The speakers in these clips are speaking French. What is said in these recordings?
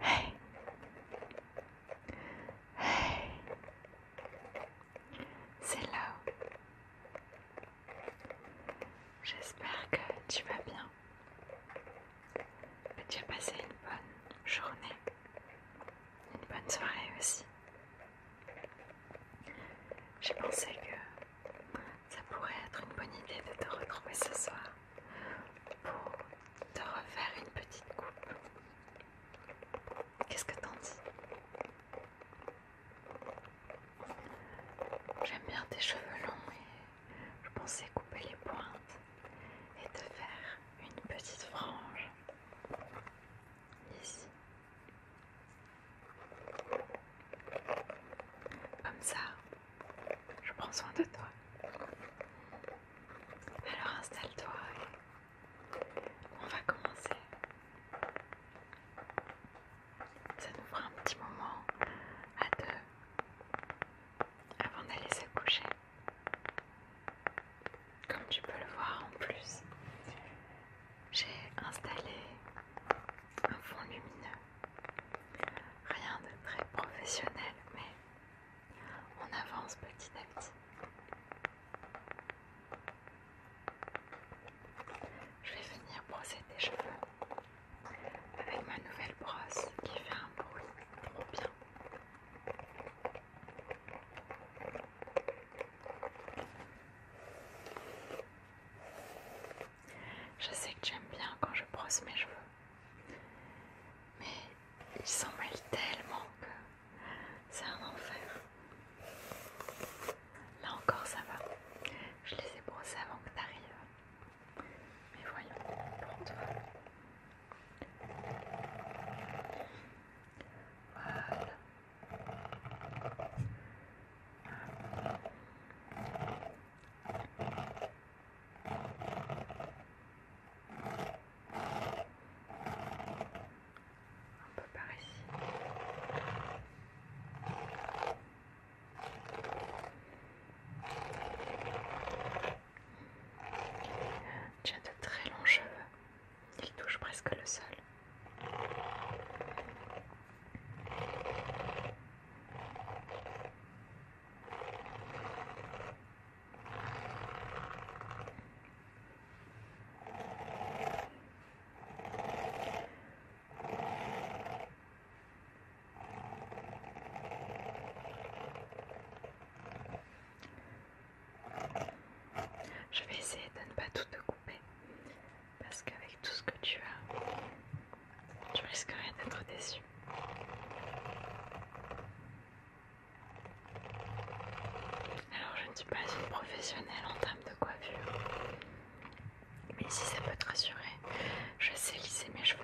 Hey. Hey. C'est là. J'espère que tu vas bien. Que tu as passé une bonne journée. Une bonne soirée aussi. J'ai pensé que ça pourrait être une bonne idée de te retrouver ce soir pour te refaire une petite coupe. Qu'est-ce que t'en dis J'aime bien tes cheveux longs et je pensais couper les pointes et te faire une petite frange ici comme ça, je prends soin de toi. Alors installe-toi et on va commencer. Ça nous fera un petit moment à deux avant d'aller se coucher. Comme tu peux le voir en plus, j'ai installé un fond lumineux. Rien de très professionnel, mais on avance petit à petit. Je vais venir brosser tes cheveux avec ma nouvelle brosse qui fait un bruit trop bien. Je sais que j'aime bien quand je brosse mes cheveux, mais ils s'en tellement que c'est un enfer. Là encore, ça va. Je les ai brossés avant que tu arrives. Mais voyons, prends toi. Voilà. Un peu par ici. Tu as de très longs cheveux. Il touche presque le sol. Je vais essayer de ne pas tout coup parce qu'avec tout ce que tu as, tu risquerais d'être déçu. Alors je ne suis pas une professionnelle en termes de coiffure, mais si ça peut te rassurer, je sais lisser mes cheveux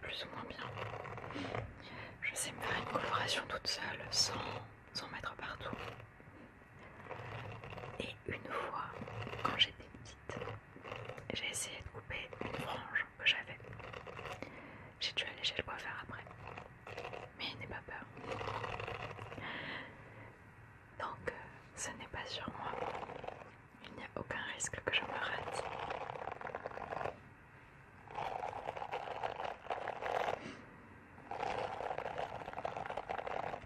plus ou moins bien. Je sais me faire une coloration toute seule sans, sans mettre partout. Et une fois, quand j'étais petite, j'ai essayé de couper une frange que j'avais. J'ai dû aller chez le coiffeur après. Mais n'est pas peur. Donc, euh, ce n'est pas sur moi. Il n'y a aucun risque que je me rate.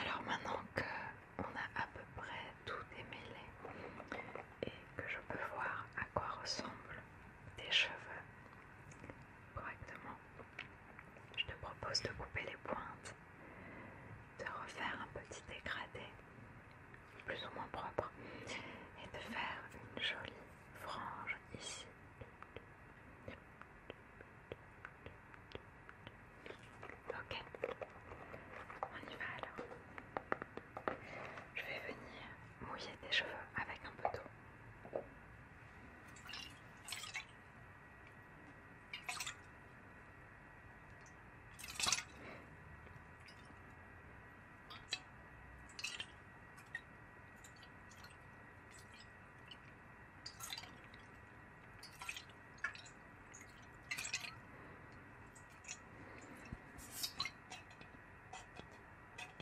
Alors maintenant que on a à peu près tout démêlé et que je peux voir à quoi ressemble tes cheveux correctement. Je te propose de couper les pointes, de refaire un petit dégradé plus ou moins propre et de faire une jolie frange ici. Ok, on y va alors. Je vais venir mouiller tes cheveux avec un peu d'eau.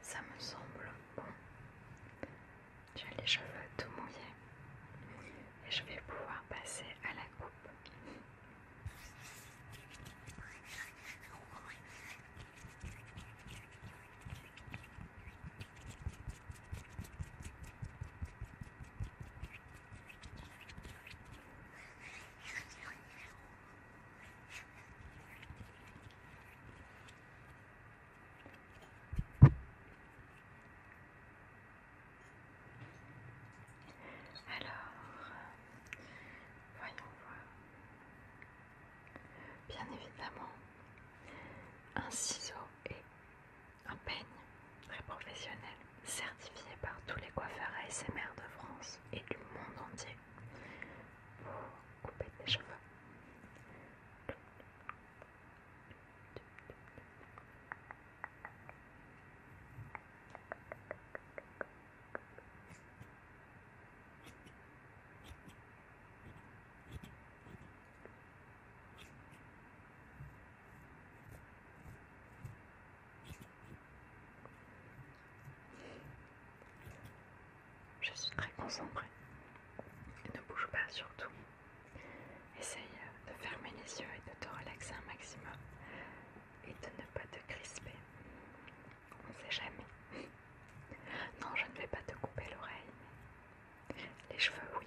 Ça me semble bon. J'ai les cheveux tout mouillés et je vais pouvoir passer à la coupe. Alors, voyons voir. Bien évidemment, un ciseau et un peigne très professionnel certifié par tous les coiffeurs SMR de France et du monde entier pour couper tes cheveux. Je suis très concentrée. Ne bouge pas surtout. Essaye euh, de fermer les yeux et de te relaxer un maximum et de ne pas te crisper. On ne sait jamais. Non, je ne vais pas te couper l'oreille. Les cheveux, oui.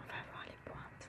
On va voir les pointes.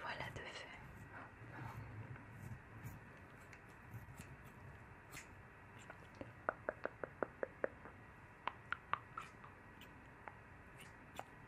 Voilà de fait.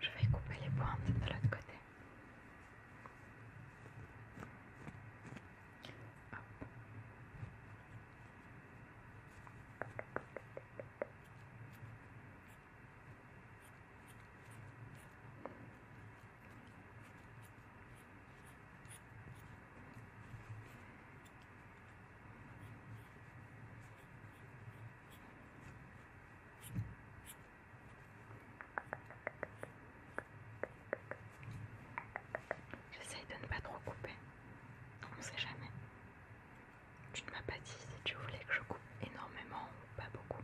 Je vais couper les pointes de l'autre côté. J'essaye de ne pas trop couper. On ne sait jamais. Tu ne m'as pas dit si tu voulais que je coupe énormément ou pas beaucoup.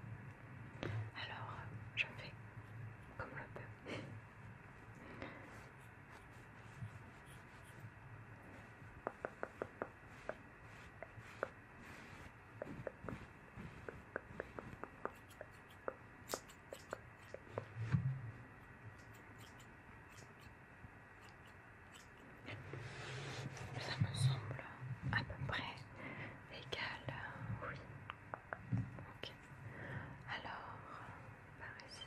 Alors, je fais comme le peux. Ça me semble à peu près égal oui. Ok. Alors, par ici.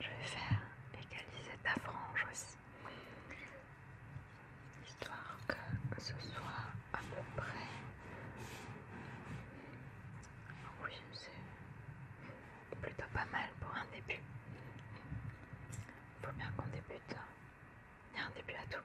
je vais faire égaliser ta frange aussi, histoire que ce soit à peu près. Oui, plutôt pas mal pour un début. Faut bien qu'on débute. Il hein. un début à tout.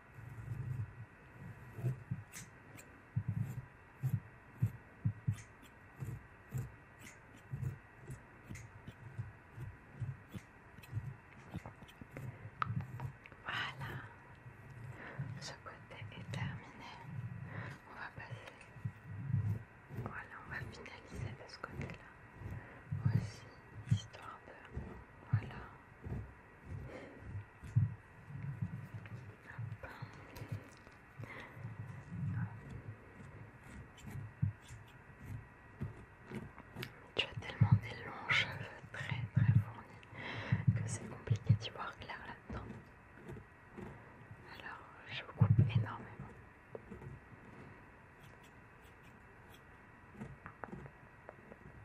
Voilà, ce côté est terminé. On va passer. Voilà, on va finaliser de ce côté-là aussi, histoire de. Voilà. Tu as tellement des longs cheveux très très fournis que c'est compliqué d'y voir clair là-dedans. Alors je coupe énormément.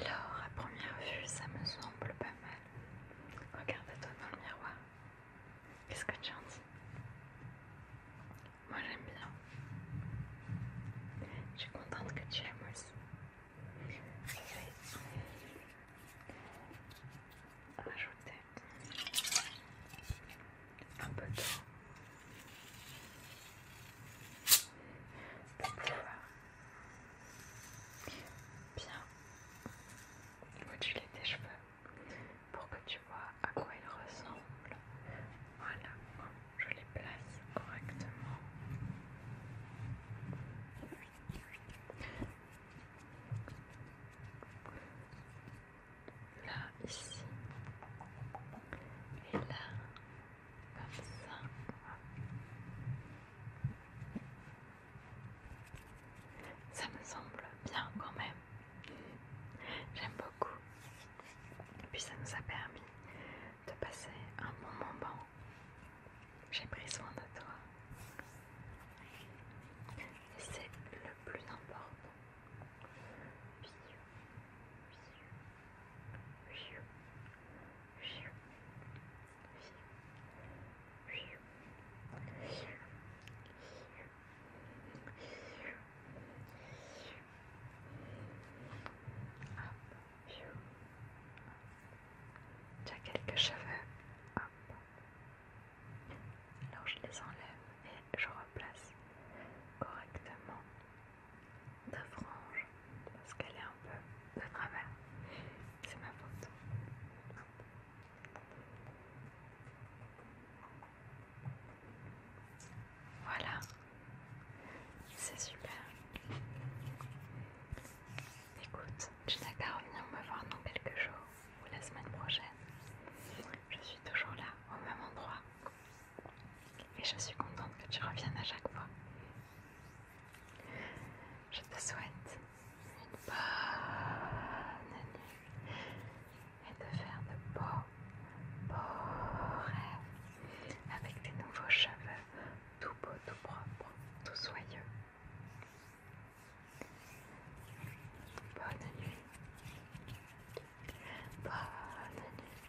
Alors, à première vue, ça me semble pas mal. Regarde-toi dans le miroir. Qu'est-ce que tu en dis Moi, j'aime bien. Je suis contente que tu aimes aussi. Je vais un peu d'eau pour bien tu tes cheveux pour que tu vois à quoi ils ressemblent. Voilà, je les place correctement. Là, ici, et là, comme ça. Ça me semble bien quand même. J'aime beaucoup. Et puis ça nous a permis de passer un bon moment. J'ai pris soin de toi. c'est le plus important. Tu quelques cheveux. Alors je les enlève et je replace correctement de parce qu'elle est un peu de travers. C'est ma faute. Voilà, c'est super. Écoute, tu n'as qu'à revenir me voir dans quelques jours ou la semaine prochaine. Je suis toujours là, au même endroit. Et je suis contente que tu reviennes à chaque fois. Je te souhaite une bonne nuit et de faire de beaux, beaux rêves avec tes nouveaux cheveux tout beaux, tout propres, tout soyeux. Bonne nuit. Bonne nuit.